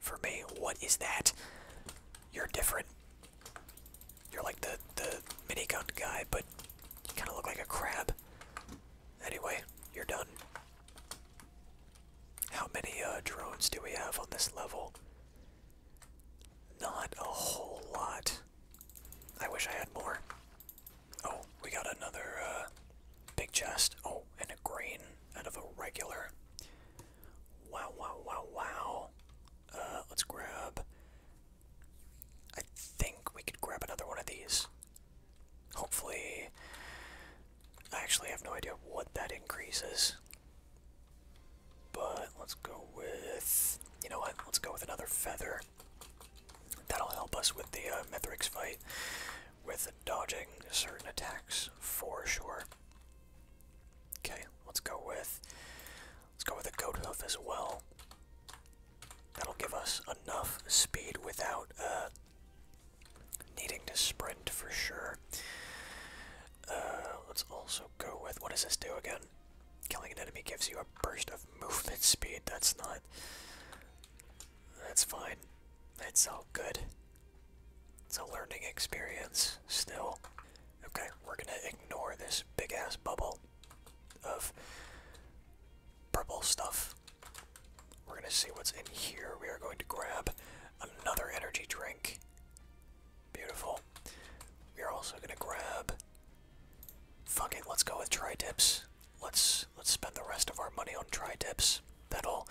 for me. What is that? You're different. You're like the, the minigun guy, but you kind of look like a crab. Anyway, you're done. How many uh, drones do we have on this level? Not a whole lot. I wish I had more. Oh, we got another uh, big chest. Oh, and a green out of a regular. Wow, wow, wow, wow. Uh, let's grab. I think we could grab another one of these. Hopefully. I actually have no idea what that increases. But let's go with. You know what? Let's go with another feather. That'll help us with the uh, fight with dodging certain attacks for sure. Okay, let's go with let's go with a goat hoof as well. That'll give us enough speed without uh, needing to sprint for sure. Uh, let's also go with what does this do again? Killing an enemy gives you a burst of [laughs] movement speed. That's not. That's fine. That's all good. It's a learning experience still. Okay, we're gonna ignore this big ass bubble of purple stuff. We're gonna see what's in here. We are going to grab another energy drink. Beautiful. We are also gonna grab. Fuck it, let's go with tri-tips. Let's let's spend the rest of our money on tri-tips that'll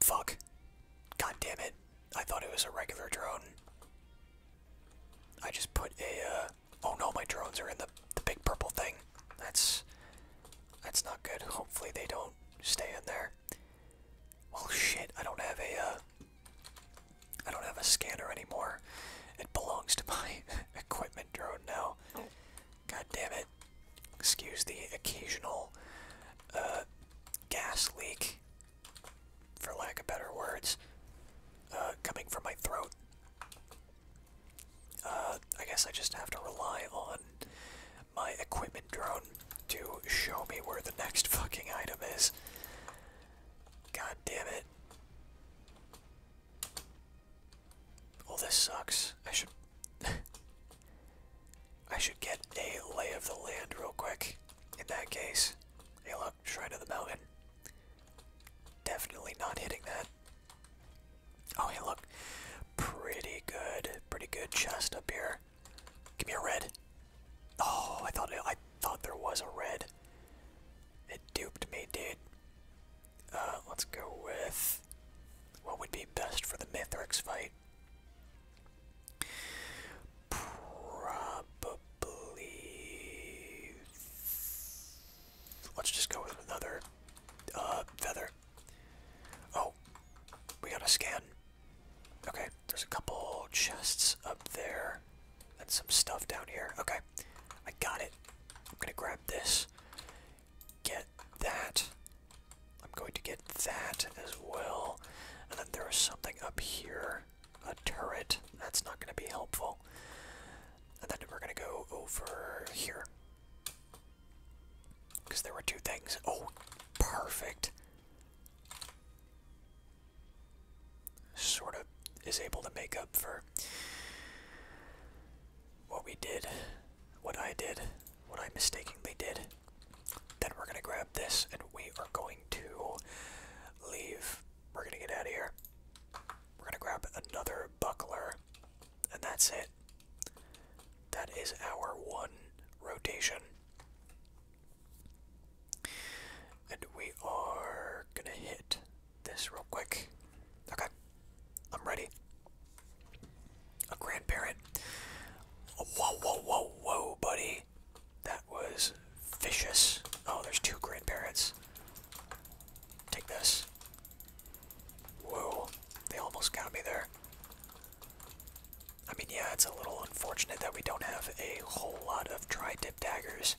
fuck. God damn it. I thought it was a regular drone. I just put a uh, oh no my drones are in the the big purple thing. That's that's not good. Hopefully they don't stay in there. Oh shit, I don't have a uh, I don't have a scanner anymore. It belongs to my [laughs] equipment drone now. God damn it. Excuse the occasional uh, gas leak, for lack of better words, uh, coming from my throat. Uh, I guess I just have to rely on my equipment drone to show me where the next [laughs] fucking item is. God damn it. Well, oh, this sucks. I should. [laughs] I should get a lay of the land real quick. In that case, hey look, shrine of the mountain. Definitely not hitting that. Oh hey look, pretty good, pretty good chest up here. Give me a red. Oh, I thought I thought there was a red. It duped me, dude. Uh, let's go with. What would be best for the Mithrix fight? Probably. Let's just go with another uh, feather. Oh, we got a scan. Okay, there's a couple chests up there and some stuff down here. Okay, I got it. I'm gonna grab this get that. I'm going to get that as well. And then there is something up here a turret. That's not going to be helpful. And then we're going to go over here. Because there were two things. Oh, perfect. Sort of is able to make up for what we did, what I did, what I mistakenly did. Then we're gonna grab this and we are going to leave. We're gonna get out of here. We're gonna grab another buckler, and that's it. That is our one rotation. And we are gonna hit this real quick. Okay. I'm ready. A grandparent. Whoa, whoa, whoa, whoa, buddy. That was vicious. Oh, there's two grandparents. Take this. Whoa, they almost got me there. I mean, yeah, it's a little unfortunate that we don't have a whole lot of tri-tip daggers.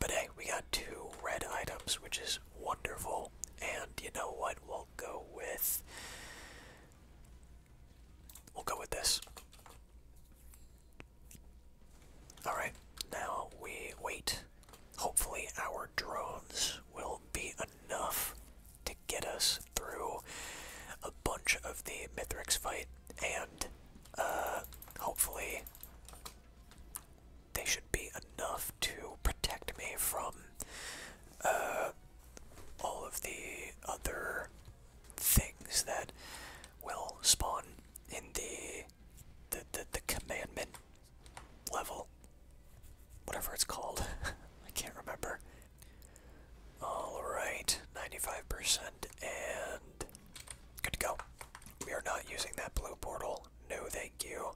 But hey, we got two red items, which is wonderful. And you know what? We'll we'll go with we'll go with this. All right, now we wait. Hopefully, our drones will be enough to get us through a bunch of the Mithrix fight, and uh, hopefully, they should be enough to protect me from uh, all of the other things that will spawn in the the, the, the commandment level. Whatever it's called. [laughs] I can't remember. Alright, 95% and good to go. We are not using that blue portal. No, thank you.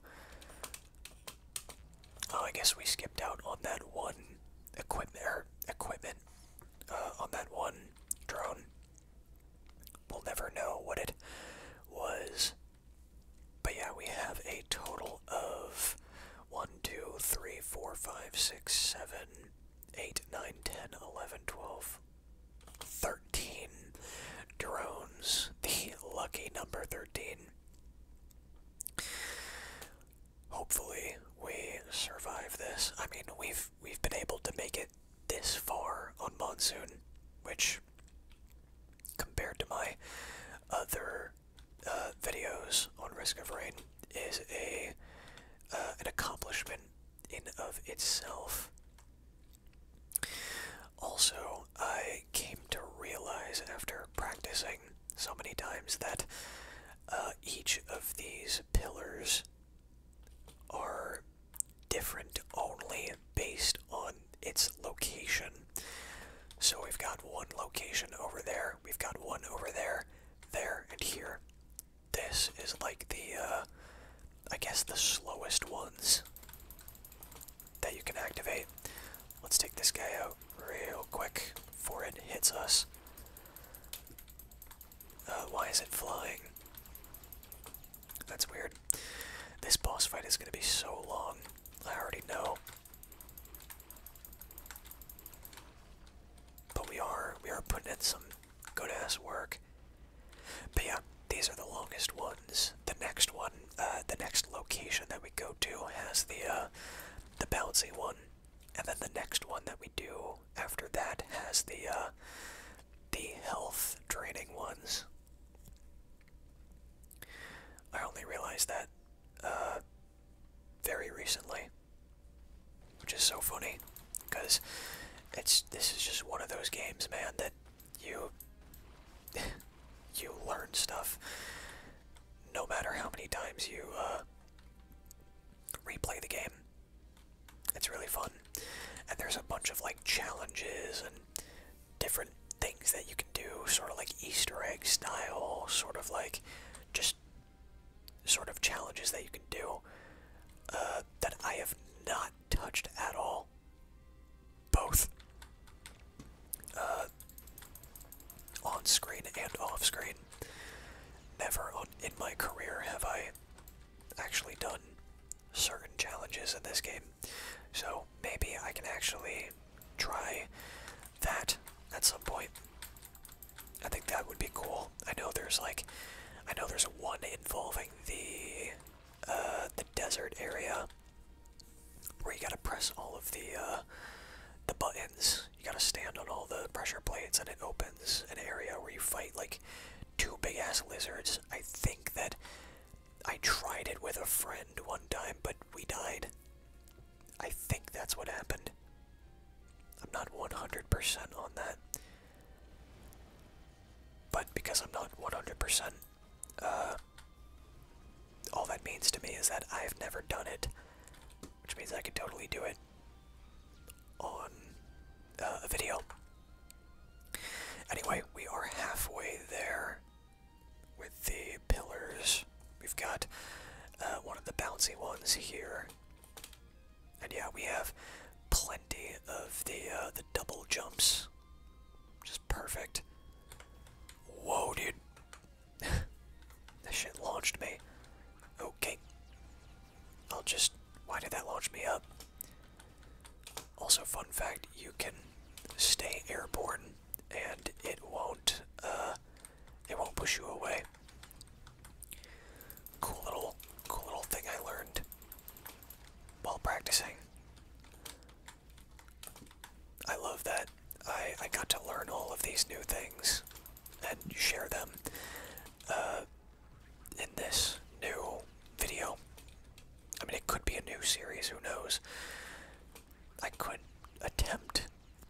Oh, I guess we skipped out on that one equipment, er, equipment, uh, on that one drone. We'll never know what it was. But yeah, we have a total of 1, 2, 3, 4, 5, 6, 7, 8, 9, 10, 11, 12, 13 drones. The lucky number 13. Hopefully we survive this. I mean, we've we've been able to make it this far on monsoon, which compared to my other uh, videos on risk of rain is a uh, an accomplishment in of itself. Also, I came to realize after practicing so many times that uh, each of these pillars are different only based on its location. So we've got one location over there, we've got one over there, there, and here. This is like the, uh, I guess the slowest ones that you can activate. Let's take this guy out real quick before it hits us. Uh, why is it flying? That's weird. This boss fight is going to be so long. I already know. But we are we are putting in some good ass work. But yeah, these are the longest ones the next one. Uh, the next location that we go to has the uh, the bouncy one, and then the next one that we do after that has the uh, the health draining ones. I only realized that uh, very recently, which is so funny, because it's this is just one of those games, man, that you [laughs] you learn stuff no matter how many times you uh, replay the game. It's really fun. And there's a bunch of like challenges and different things that you can do, sort of like Easter egg style, sort of like just sort of challenges that you can do uh, that I have not touched at all both uh, on screen and off screen. Never in my career have I actually done certain challenges in this game, so maybe I can actually try that at some point. I think that would be cool. I know there's like, I know there's one involving the uh, the desert area where you gotta press all of the uh, the buttons. You gotta stand on all the pressure plates, and it opens an area where you fight like two big ass lizards. I think that I tried it with a friend one time, but we died. I think that's what happened. I'm not 100% on that. But because I'm not 100%, all that means to me is that I've never done it, which means I could totally do it on uh, a video. Anyway, we are halfway there with the pillars. We've got uh, one of the bouncy ones here, and yeah, we have plenty of the uh, the double jumps, just perfect. Whoa, dude! [laughs] that shit launched me. Okay. I'll just. Why did that launch me up? Also, fun fact you can stay airborne and it won't, uh, it won't push you away. Cool little, cool little thing I learned while practicing. I love that I, I got to learn all of these new things and share them uh, in this new video. I mean, it could be a new series, who knows? I could attempt,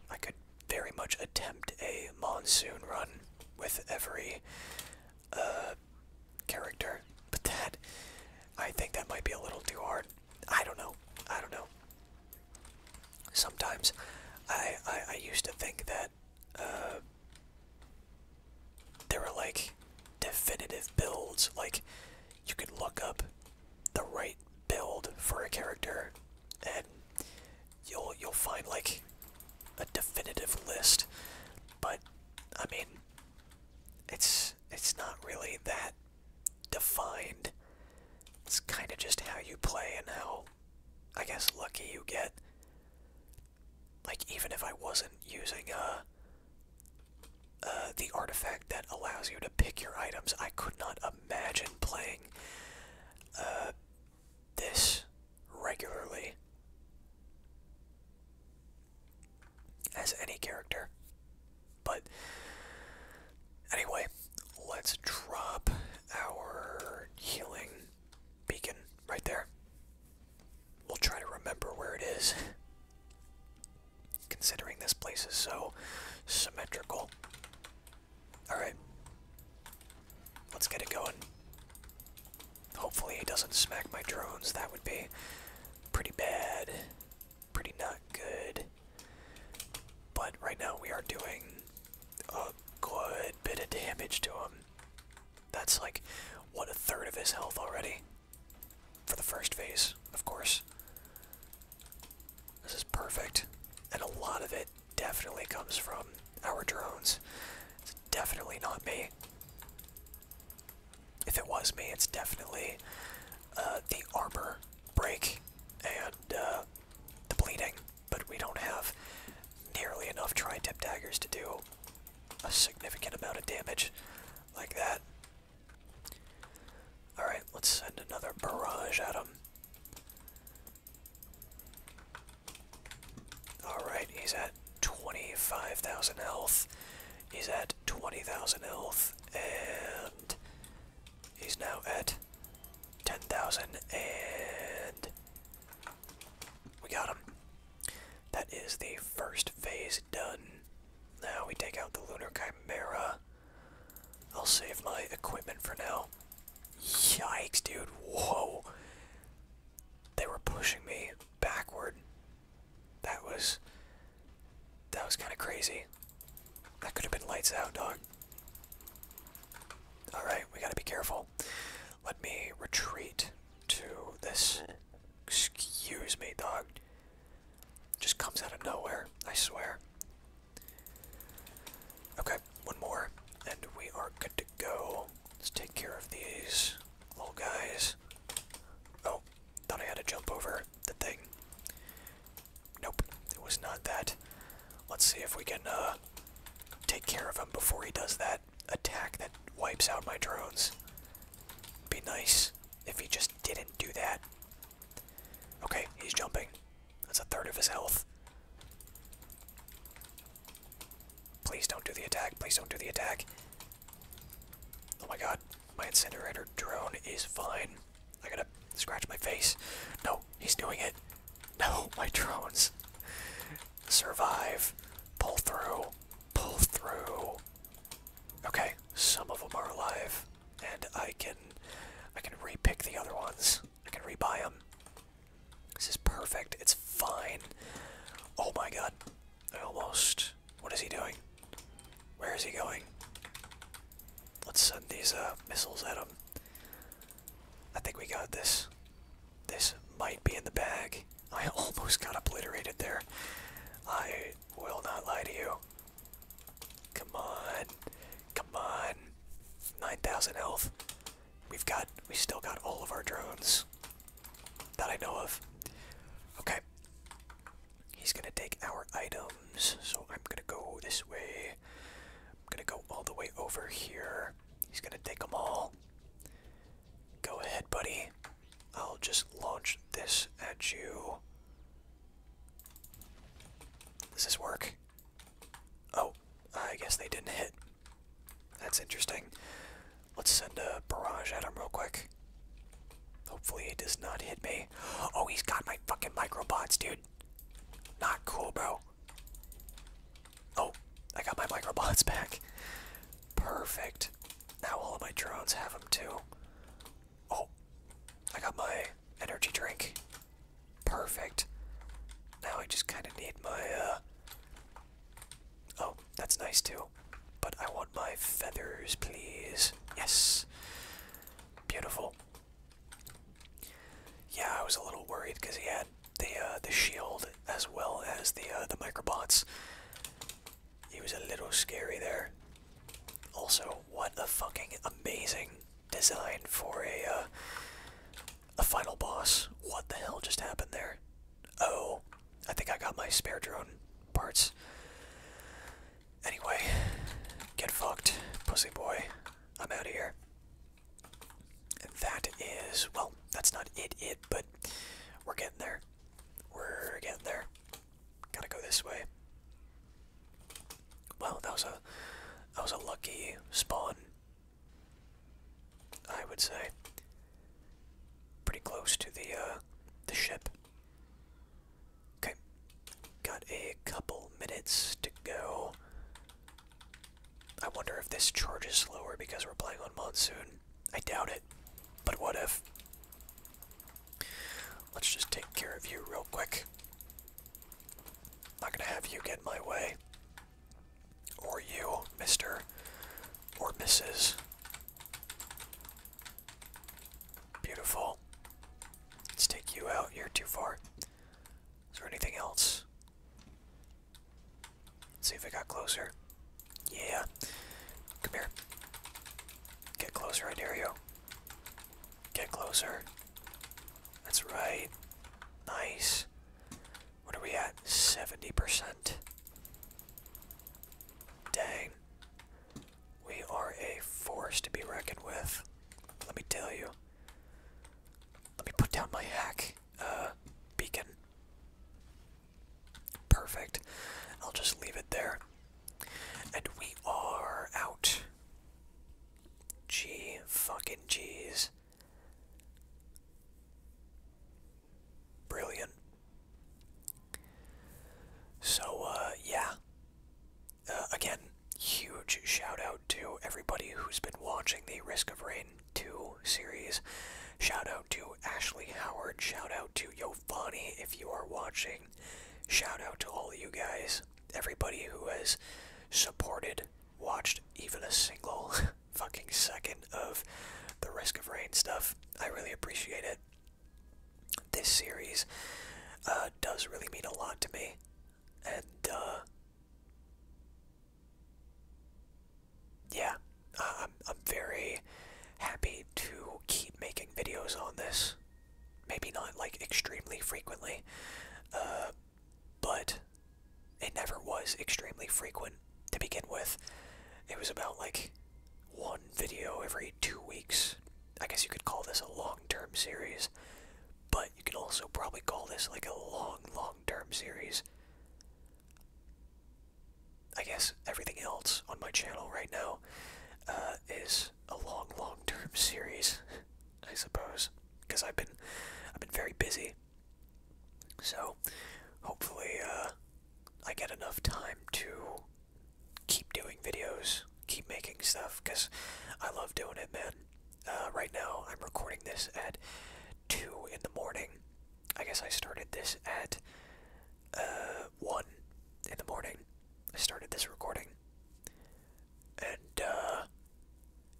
I could very much attempt a monsoon run with every uh, character, but that, I think that might be a little too hard. I don't know. I don't know. Sometimes I, I, used to think that uh, there were like definitive builds. Like you could look up the right build for a character and you'll you'll find like a definitive list. But I mean it's it's not really that defined it's kind of just how you play and how, I guess, lucky you get. Like, even if I wasn't using uh, uh, the artifact that allows you to pick your items, I could not imagine playing uh, this regularly as any character. But anyway, let's drop our healing beacon right there. We'll try to remember where it is. Considering this place is so symmetrical. Alright. Let's get it going. Hopefully, he doesn't smack my drones. That would be pretty bad pretty not good. But right now we are doing a good bit of damage to him. That's like, what, a third of his health already? For the first phase, of course. This is perfect. And a lot of it definitely comes from our drones. It's definitely not me. If it was me, it's definitely uh, the armor break and uh, the bleeding, but we don't have nearly enough tri-tip daggers to do a significant amount of damage like that. Alright, let's send another barrage at him. Alright, he's at 25,000 health. He's at 20,000 health, and He's now at 10,000 and we got him. That is the first phase done. Now we take out the Lunar Chimera. I'll save my equipment for now. Yikes, dude. Whoa. They were pushing me backward. That was that was kind of crazy. That could have been lights out, dog. Alright, we gotta be careful. Let me retreat to this. Excuse me, dog. Just comes out of nowhere, I swear. Okay, one more, and we are good to go. Let's take care of these little guys. Oh, thought I had to jump over the thing. Nope, it was not that. Let's see if we can uh, take care of him before he does that attack that wipes out my drones. Be nice if he just didn't do that. Okay, he's jumping. That's a third of his health. Please don't do the attack. Please don't do the attack. Oh my god. My incinerator drone is fine. I gotta scratch my face. No, he's doing it. [laughs] No, my drones. Survive. Pull through. Pull through. Okay, some of them are alive, and I can, I can repick the other ones. I can re-buy them. This is perfect. It's fine. Oh my god. I almost. What is he doing? Where is he going? Let's send these uh, missiles at him. I think we got this. This might be in the bag. [laughs] I almost got obliterated there. I will not lie to you. Come on. Come on. 9,000 health. We've got, we still got all of our drones that I know of. Okay. He's gonna take our items, so I'm gonna go this way. I'm gonna go all the way over here. He's gonna take them all. Go ahead, buddy. I'll just launch this at you. Does this work? Oh, I guess they didn't hit. That's interesting. Let's send a barrage at him real quick. Hopefully, it does not hit me. Oh, he's got my fucking microbots, dude. Not cool, bro. Oh, I got my microbots [laughs] back. Perfect. Now all of my drones have them too. Oh, I got my energy drink. Perfect. Now I just kind of need my, uh. Oh, that's nice too. But I want my feathers, please. Yes. Beautiful. Yeah, I was a little worried because he had the uh, the shield as well as the uh, the microbots. He was a little scary there. Also, what a fucking amazing design for a uh, a final boss. What the hell just happened there? Oh, I think I got my spare drone parts. Anyway, get fucked, pussy boy. I'm out of here. That is, well, that's not it, it, but we're getting there. We're getting there. Gotta go this way. Well, that was a, that was a lucky spawn. I would say. Pretty close to the, uh, the ship. Okay. Got a couple minutes to go. I wonder if this charge is slower because we're playing on Monsoon. I doubt it. But what if? Let's just take care of you real quick. Not gonna have you get in my way. Or you, Mr. Or Mrs. Beautiful. Let's take you out. You're too far. Is there anything else? see if I got closer. Yeah. Come here. Get closer, I dare you. Get closer. That's right. Nice. What are we at? 70%. Dang. We are a force to be reckoned with. Let me tell you. Let me put down my hack uh, beacon. Perfect. I'll just leave it there. And we are out. Gee, fucking geez. Brilliant. So, uh, yeah again, huge shout out to everybody who's been watching the Risk of Rain 2 series. Shout out to Ashley Howard. Shout out to Yovani if you are watching. Shout out to all of you guys. Everybody who has supported, watched even a single [laughs] fucking second of the Risk of Rain stuff. I really appreciate it this series uh, does really mean a lot to me, and uh, yeah, I'm I'm very happy to keep making videos on this. Maybe not like extremely frequently, uh, but it never was extremely frequent to begin with. It was about like one video every two weeks. I guess you could call this a long term series, but you can also probably call this like a long, long term series. I guess everything else on my channel right now uh, is a long, long term series, [laughs] I suppose, because I've been, I've been very busy. So, hopefully, uh, I get enough time to keep doing videos, keep making stuff, because I love doing it, man. Uh, right now, I'm recording this at 2 in the morning. I guess I started this at uh, 1 in the morning. I started this recording. And, uh,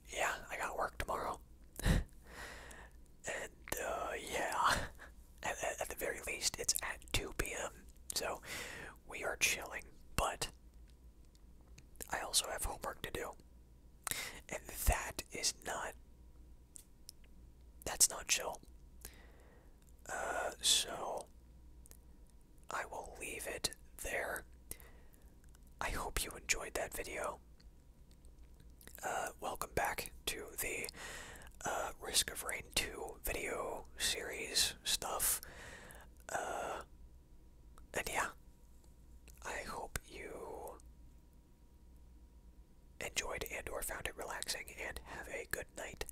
yeah, I got work tomorrow. [laughs] and, yeah, [laughs] at the very least, it's at 2 p.m., so we are chilling, but I also have homework to do. And that is not. That's not chill. Uh, so. I will leave it there. I hope you enjoyed that video. Uh, welcome back to the uh, Risk of Rain 2 video series stuff. Uh, and yeah, I hope you enjoyed and or found it relaxing and have a good night.